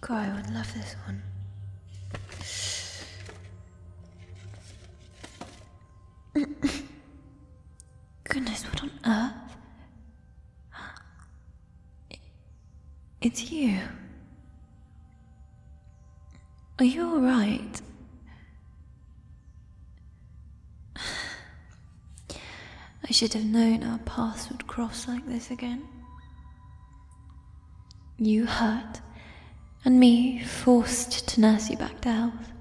God, I would love this one. Goodness, what on earth? It's you. Are you alright? I should have known our paths would cross like this again. You hurt, and me forced to nurse you back to health.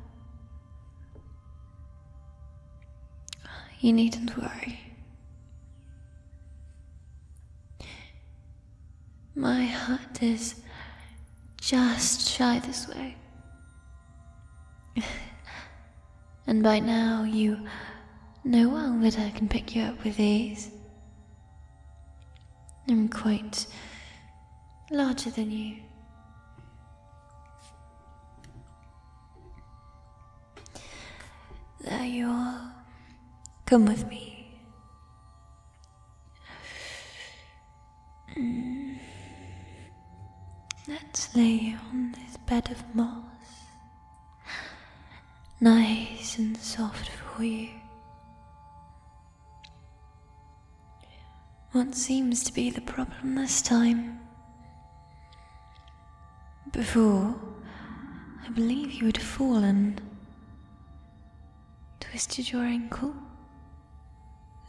You needn't worry. My heart is just shy this way. and by now you know well that uh, I can pick you up with ease. I'm quite larger than you. There you are. Come with me. Mm. Let's lay on this bed of moss, nice and soft for you. What seems to be the problem this time? Before, I believe you had fallen, twisted your ankle,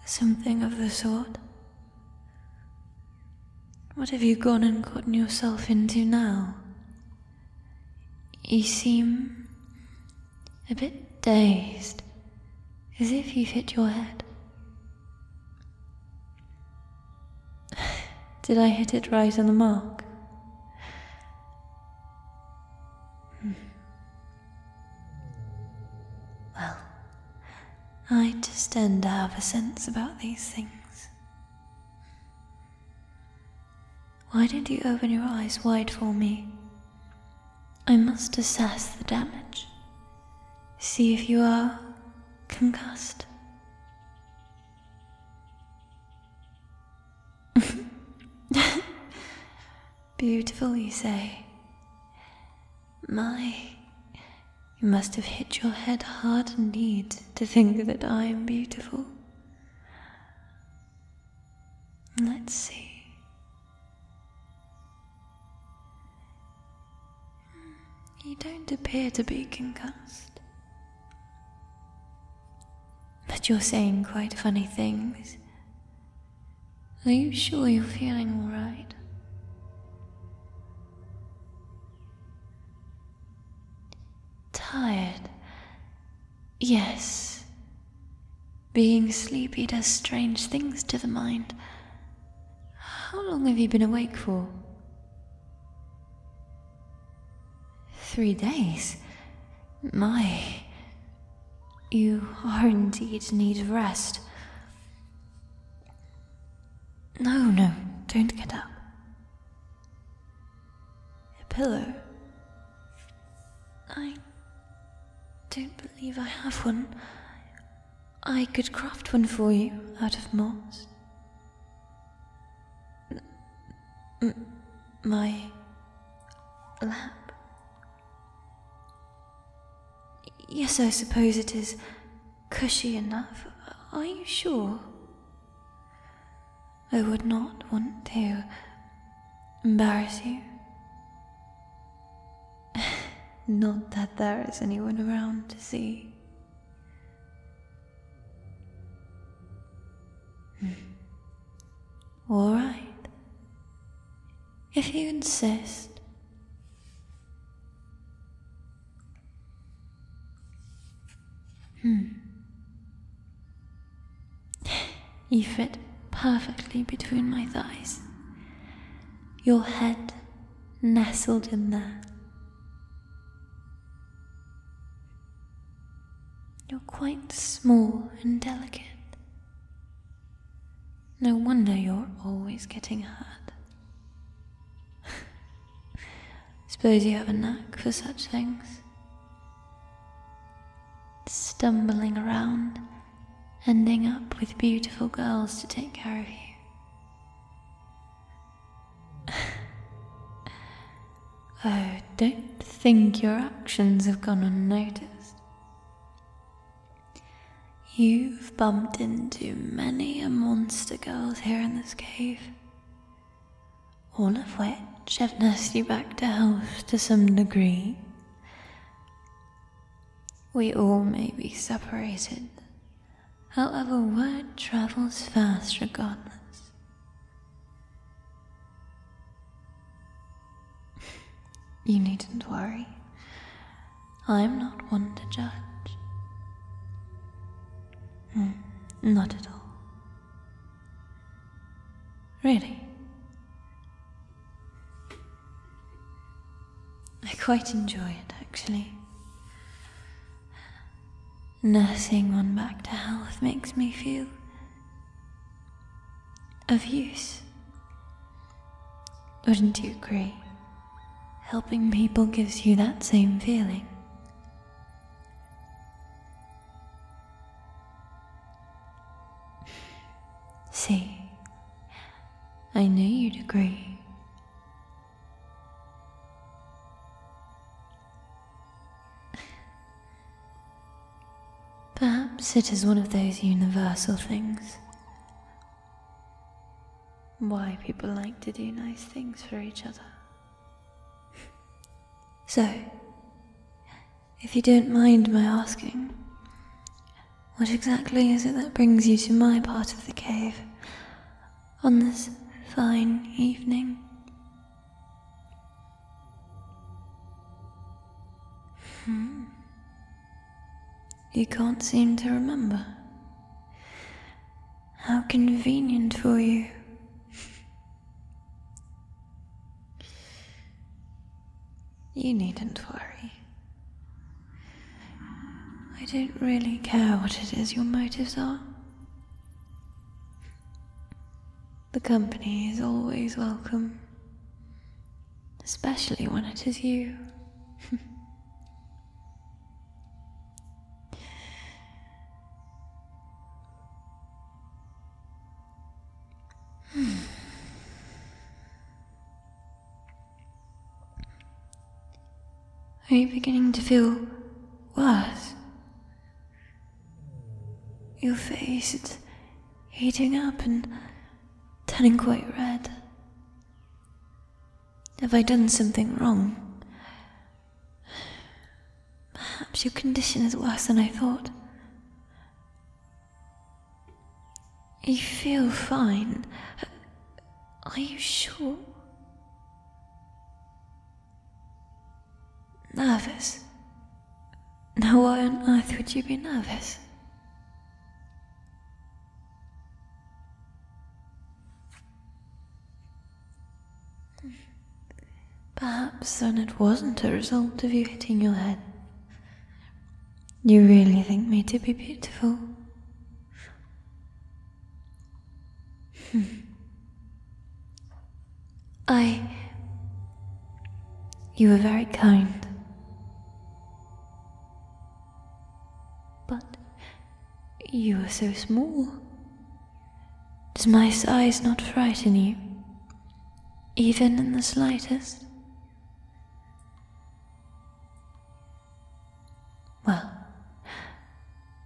something of the sort. What have you gone and gotten yourself into now? You seem a bit dazed, as if you've hit your head. Did I hit it right on the mark? Hmm. Well, I just tend to have a sense about these things. Why don't you open your eyes wide for me? I must assess the damage. See if you are concussed. Beautiful, you say. My, you must have hit your head hard indeed to think that I am beautiful. Let's see. You don't appear to be concussed. But you're saying quite funny things. Are you sure you're feeling alright? Tired. Yes. Being sleepy does strange things to the mind. How long have you been awake for? Three days? My. You are indeed need of rest. No, no, don't get up. A pillow? I don't believe I have one. I could craft one for you out of moss. my lap. Yes, I suppose it is cushy enough. Are you sure? I would not want to embarrass you. not that there is anyone around to see. Hmm. All right. If you insist. Hmm. You fit perfectly between my thighs. Your head nestled in there. You're quite small and delicate. No wonder you're always getting hurt. Suppose you have a knack for such things. Stumbling around, ending up with beautiful girls to take care of you. oh, don't think your actions have gone unnoticed. You've bumped into many a monster girls here in this cave all of which have nursed you back to health to some degree. We all may be separated, however, word travels fast regardless. You needn't worry. I'm not one to judge. Hmm, not at all. Really? I quite enjoy it, actually. Nursing one back to health makes me feel of use. Wouldn't you agree? Helping people gives you that same feeling. See, I knew you'd agree. Perhaps it is one of those universal things why people like to do nice things for each other. so, if you don't mind my asking, what exactly is it that brings you to my part of the cave on this fine evening? Hmm. You can't seem to remember. How convenient for you. You needn't worry. I don't really care what it is your motives are. The company is always welcome, especially when it is you. Hmm. Are you beginning to feel worse? Your face is heating up and turning quite red. Have I done something wrong? Perhaps your condition is worse than I thought. You feel fine. Are you sure? Nervous? Now, why on earth would you be nervous? Perhaps then it wasn't a result of you hitting your head. You really think me to be beautiful? Hmm. I. You were very kind. But you are so small. Does my size not frighten you? Even in the slightest? Well,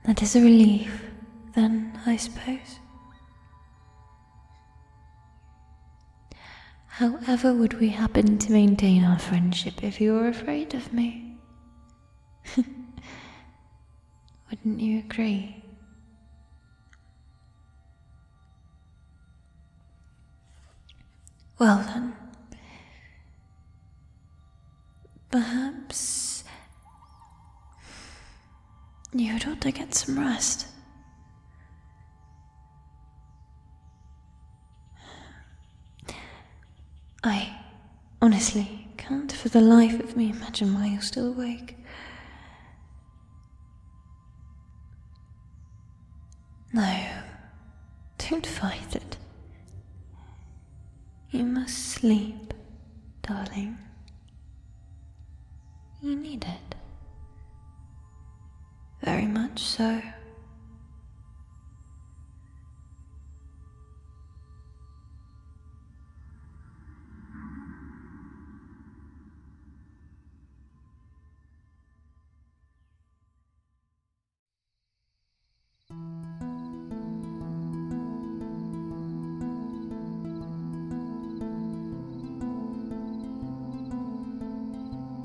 that is a relief, then, I suppose. However, would we happen to maintain our friendship if you were afraid of me? Wouldn't you agree? Well then, perhaps you ought to get some rest. I honestly can't for the life of me imagine why you're still awake. No, don't fight it. You must sleep, darling. You need it. Very much so.